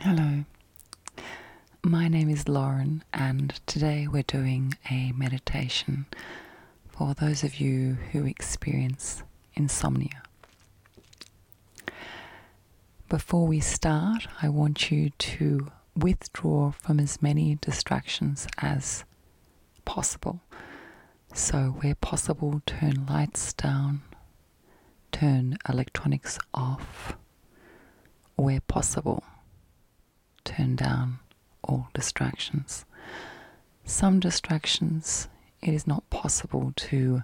Hello, my name is Lauren, and today we're doing a meditation for those of you who experience insomnia. Before we start, I want you to withdraw from as many distractions as possible. So, where possible, turn lights down, turn electronics off. Where possible, turn down all distractions. Some distractions it is not possible to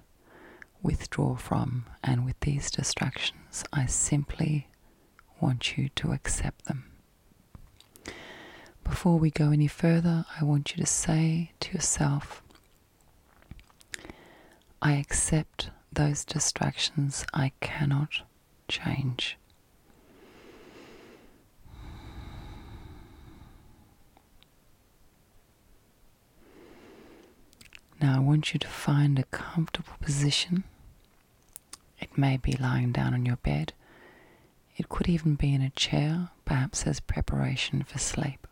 withdraw from, and with these distractions, I simply want you to accept them. Before we go any further, I want you to say to yourself, I accept those distractions I cannot change. Now, I want you to find a comfortable position. It may be lying down on your bed, it could even be in a chair, perhaps as preparation for sleep.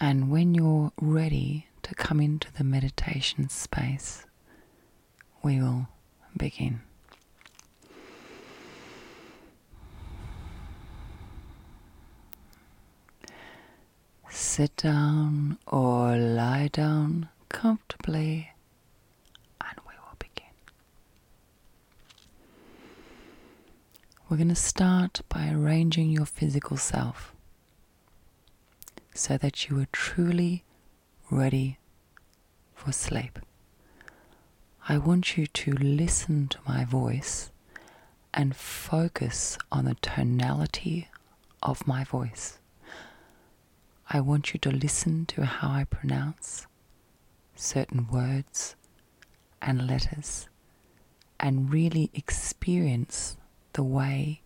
And when you're ready to come into the meditation space, we will begin. Sit down or lie down comfortably and we will begin. We're going to start by arranging your physical self so that you are truly ready for sleep. I want you to listen to my voice and focus on the tonality of my voice. I want you to listen to how I pronounce certain words and letters and really experience the way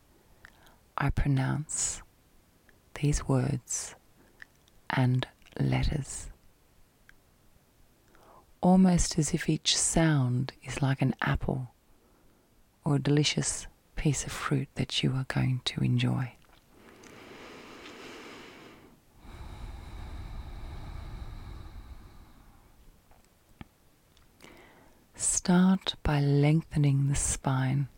I pronounce these words and letters. Almost as if each sound is like an apple or a delicious piece of fruit that you are going to enjoy. Start by lengthening the spine,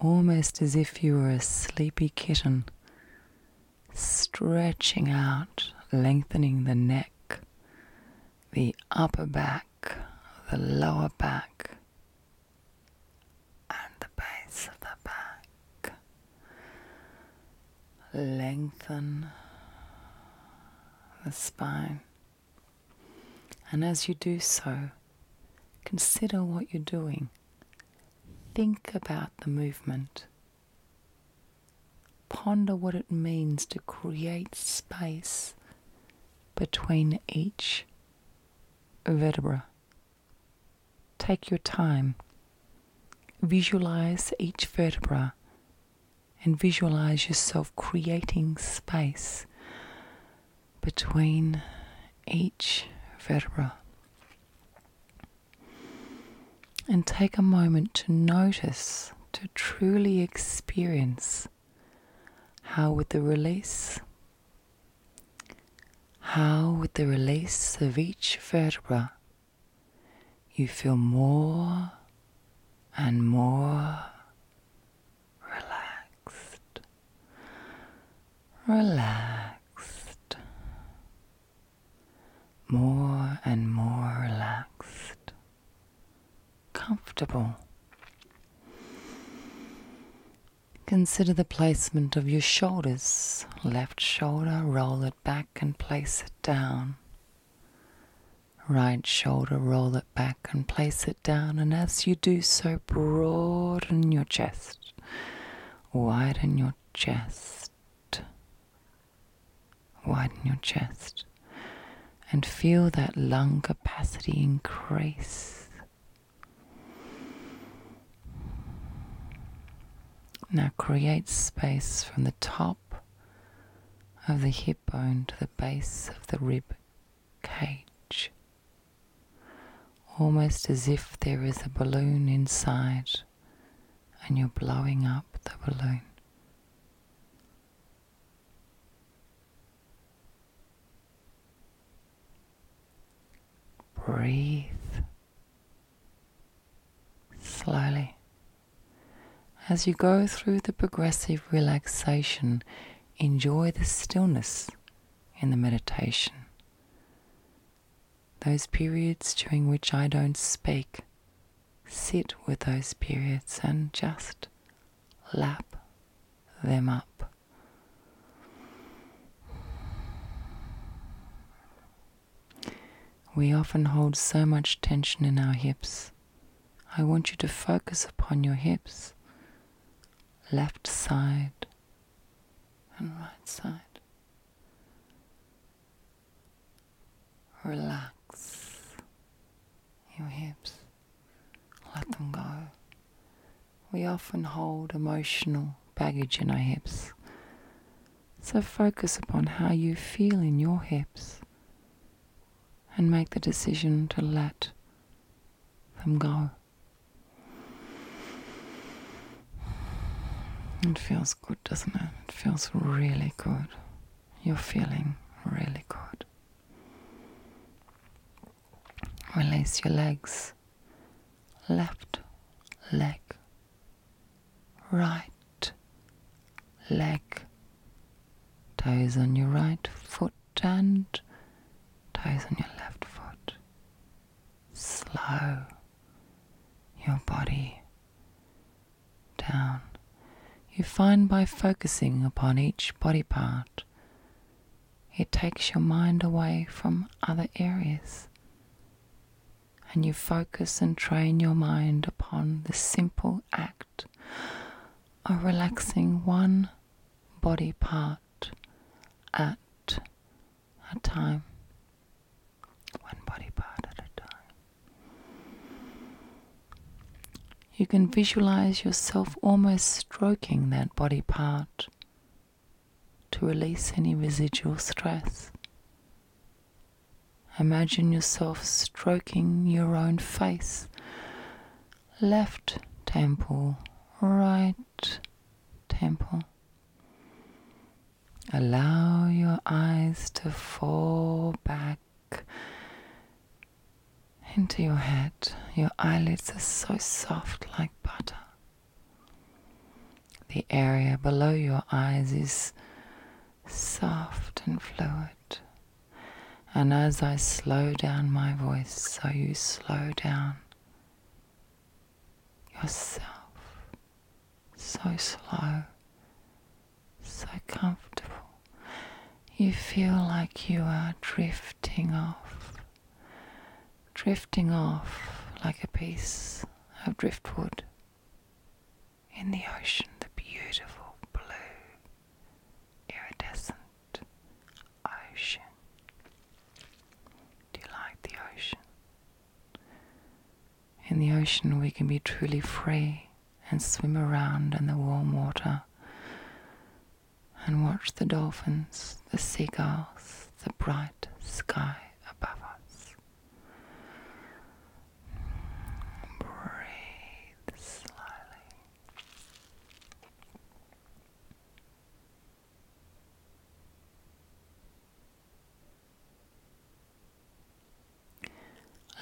almost as if you were a sleepy kitten, stretching out, lengthening the neck, the upper back, the lower back, and the base of the back. Lengthen the spine. And as you do so, consider what you're doing. Think about the movement. Ponder what it means to create space between each vertebra. Take your time. Visualize each vertebra and visualize yourself creating space between each vertebra. And take a moment to notice, to truly experience how with the release? How with the release of each vertebra you feel more and more relaxed, relaxed, more and more relaxed, comfortable. Consider the placement of your shoulders. Left shoulder, roll it back and place it down. Right shoulder, roll it back and place it down. And as you do so, broaden your chest, widen your chest, widen your chest and feel that lung capacity increase. Now create space from the top of the hip bone to the base of the rib cage, almost as if there is a balloon inside and you're blowing up the balloon. Breathe slowly. As you go through the progressive relaxation, enjoy the stillness in the meditation. Those periods during which I don't speak, sit with those periods and just lap them up. We often hold so much tension in our hips. I want you to focus upon your hips, left side and right side. Relax your hips. Let them go. We often hold emotional baggage in our hips. So focus upon how you feel in your hips and make the decision to let them go. It feels good, doesn't it? It feels really good. You're feeling really good. Release your legs. Left leg, right leg, toes on your right foot and toes on your left foot. Slow your body down you find by focusing upon each body part, it takes your mind away from other areas. And you focus and train your mind upon the simple act of relaxing one body part at a time. One body part at a time. You can visualize yourself almost stroking that body part to release any residual stress. Imagine yourself stroking your own face, left temple, right temple. Allow your eyes to fall back into your head. Your eyelids are so soft like butter. The area below your eyes is soft and fluid. And as I slow down my voice, so you slow down yourself so slow so comfortable. You feel like you are drifting off, drifting off like a piece of driftwood in the ocean, the beautiful blue, iridescent ocean. Do you like the ocean? In the ocean, we can be truly free and swim around in the warm water and watch the dolphins, the seagulls, the bright sky above us. Breathe slowly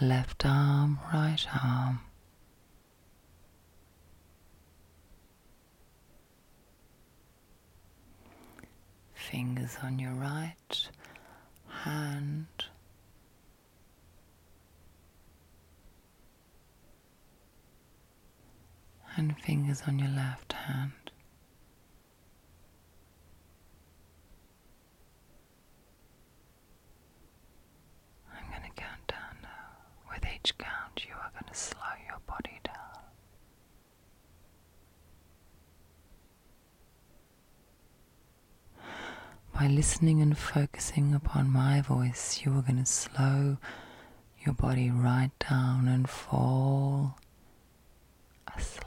left arm, right arm. Fingers on your right hand. And fingers on your left hand. I'm going to count down now. With each count, you are going to slow your body down. By listening and focusing upon my voice, you are going to slow your body right down and fall asleep.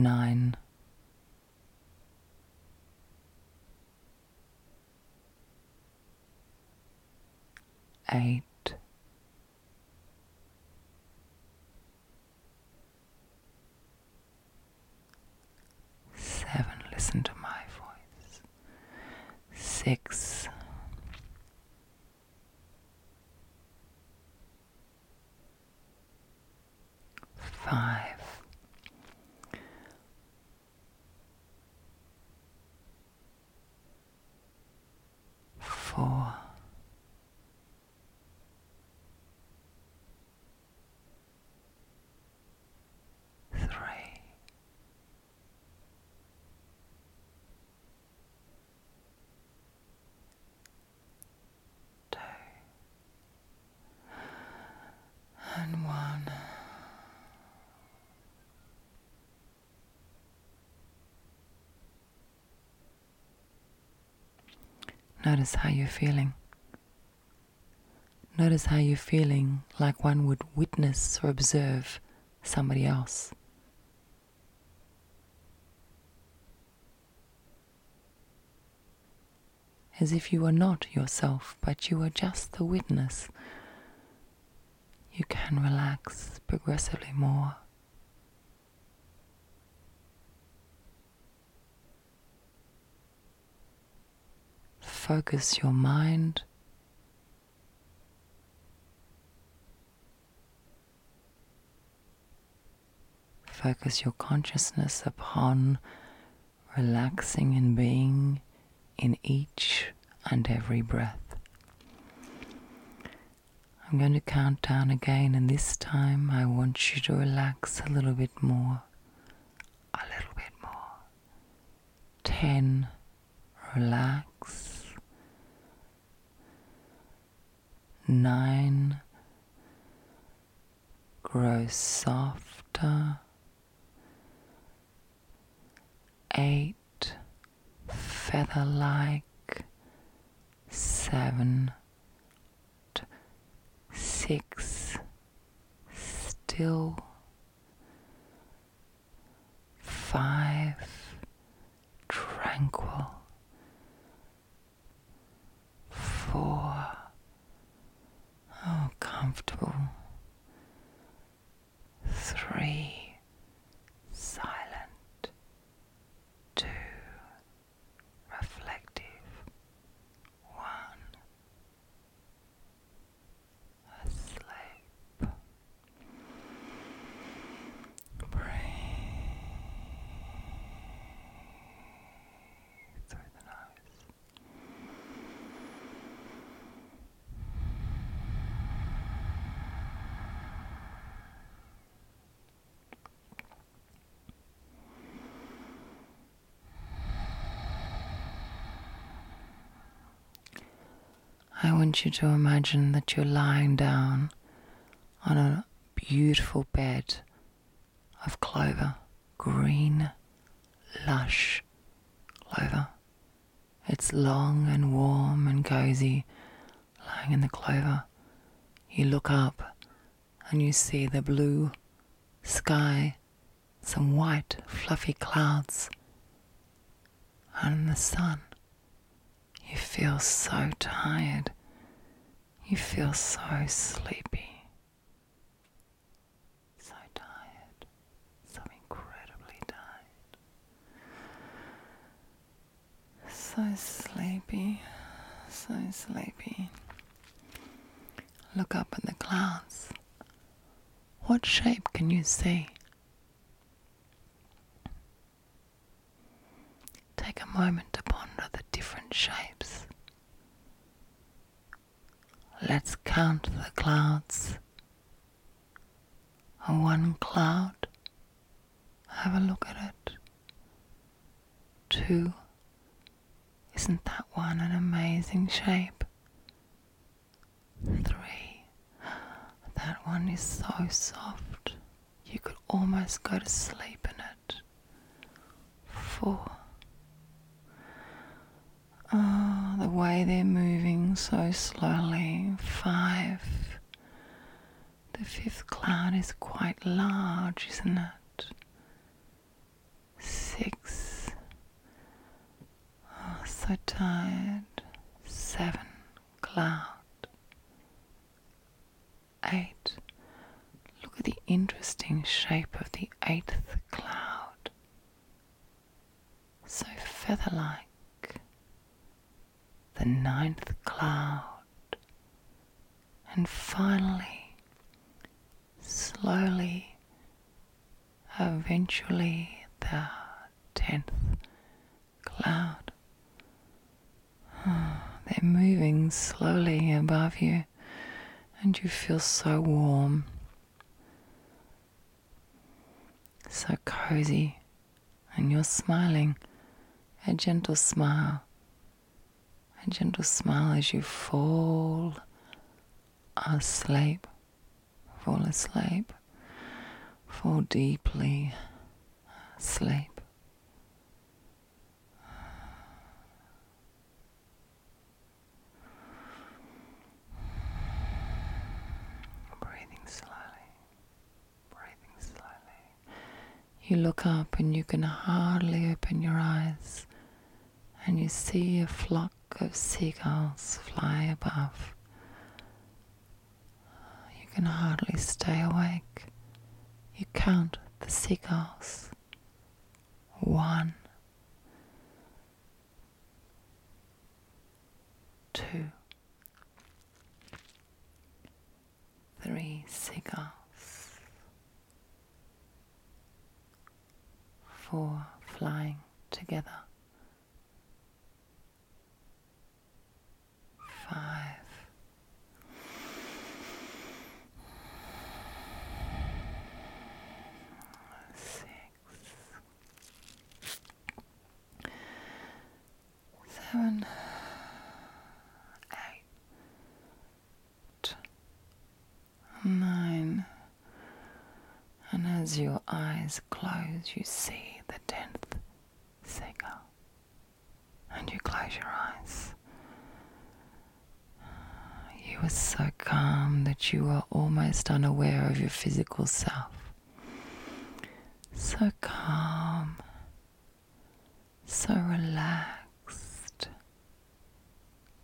Nine. nine. Eight, Seven, listen to my voice. Six, five. Four, three, two, and one. Notice how you're feeling. Notice how you're feeling like one would witness or observe somebody else. As if you are not yourself, but you are just the witness. You can relax progressively more. Focus your mind. Focus your consciousness upon relaxing and being in each and every breath. I'm going to count down again, and this time I want you to relax a little bit more, a little bit more. 10, relax. 9, grow softer. 8, feather like seven, six, still, five, tranquil, four, oh, comfortable, three, silent, two, reflective one asleep. Breathe through the nose. I want you to imagine that you're lying down on a beautiful bed of clover, green, lush clover. It's long and warm and cozy lying in the clover. You look up and you see the blue sky, some white, fluffy clouds, and the sun. You feel so tired. You feel so sleepy. So tired. So incredibly tired. So sleepy. So sleepy. Look up at the clouds. What shape can you see? Take a moment to ponder the different shapes. Let's count the clouds. One cloud, have a look at it. Two. Isn't that one an amazing shape? Three. That one is so soft, you could almost go to sleep in it. Four. Ah, the way they're moving so slowly. Five. The fifth cloud is quite large, isn't it? six. Oh, so tired. Seven. Cloud. Eight. Look at the interesting shape of the eighth cloud. So feather like. The ninth cloud. And finally, slowly, eventually, the tenth cloud. Ah, they're moving slowly above you, and you feel so warm, so cozy, and you're smiling a gentle smile a gentle smile as you fall asleep, fall asleep, fall deeply asleep. Breathing slowly, breathing slowly. You look up and you can hardly open your eyes, and you see a flock of seagulls fly above. You can hardly stay awake. You count the seagulls. One, two, three seagulls, four flying together, five. Six, seven, eight, nine. And as your eyes close, you see the tenth signal, And you close your eyes. You were so calm that you were almost unaware of your physical self. So calm so relaxed,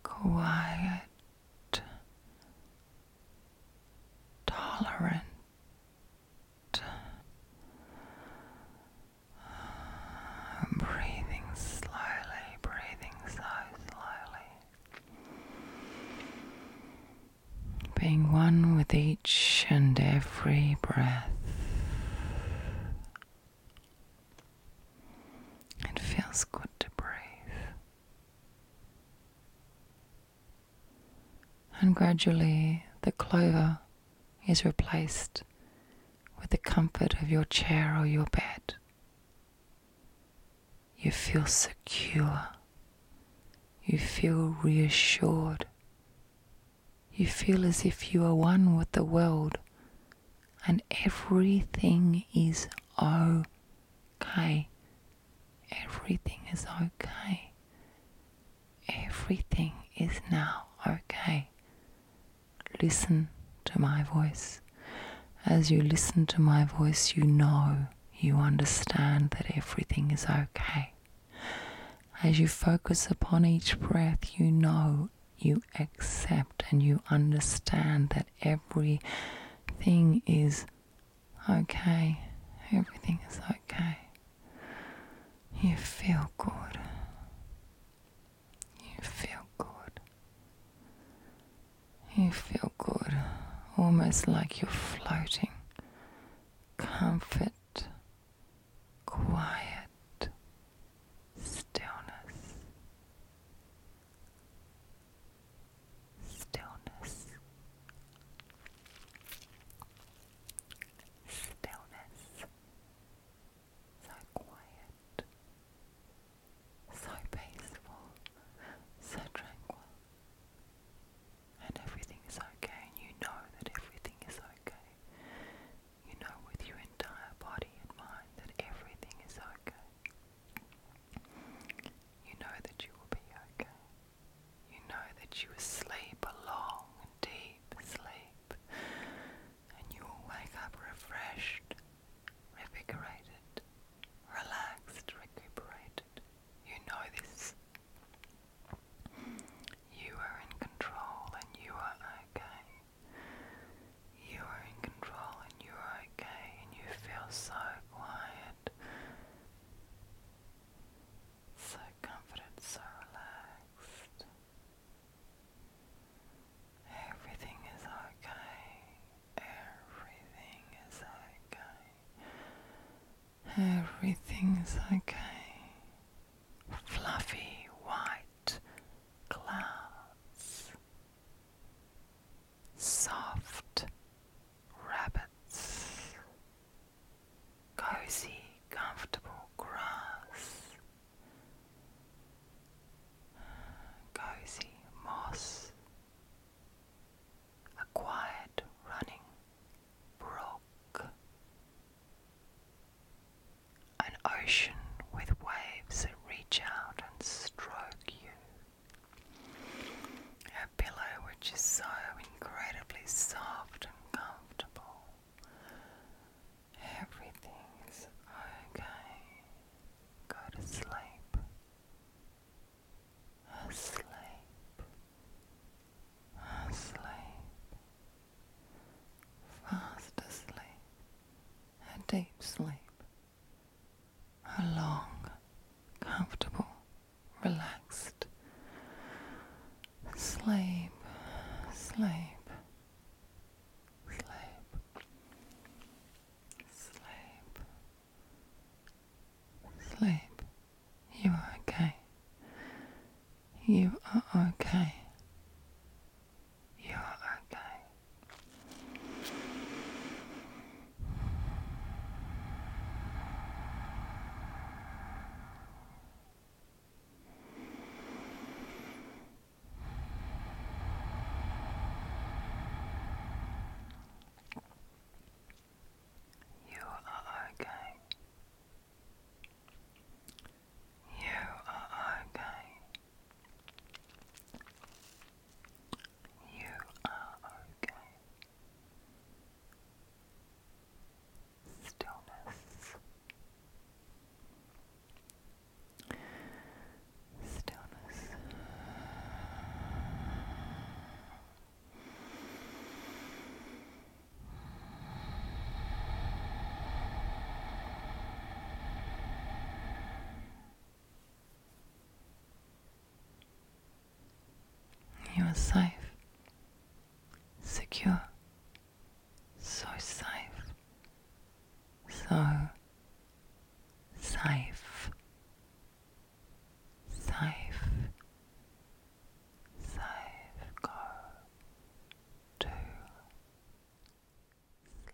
quiet, tolerant. breathing slowly, breathing so slowly. Being one with each and every breath. It feels good to breathe. And gradually, the clover is replaced with the comfort of your chair or your bed. You feel secure. You feel reassured you feel as if you are one with the world and everything is okay. Everything is okay. Everything is now okay. Listen to my voice. As you listen to my voice, you know, you understand that everything is okay. As you focus upon each breath, you know, you accept, and you understand that everything is okay. Everything is okay. You feel good. You feel good. You feel good. Almost like you're floating. Comfort quiet stillness, stillness, stillness, so quiet, so peaceful, so tranquil. And everything is okay, and you know that everything is okay. You know with your entire body and mind that everything is okay. You know that you will be okay. You know that you will sleep a long deep sleep and you will wake up refreshed, revigorated, relaxed, recuperated. You know this. You are in control and you are okay. You are in control and you are okay, and you feel so quiet, so confident, so relaxed. Everything is okay. Everything is okay. Everything's okay fluffy white clouds, soft rabbits, cozy, comfortable grass, cozy moss, a quiet running brook an ocean with waves that reach out and stroke you, a pillow which is so incredibly soft and comfortable. Everything's okay. Go to sleep. Asleep asleep, fast asleep, a deep sleep, a long, comfortable, relaxed sleep, sleep. Sleep, sleep, sleep. You are okay. You are okay. You are okay. You are okay. You are okay. You are okay. Stillness. Stillness. You're safe, secure, so safe, so safe, safe, safe go to sleep.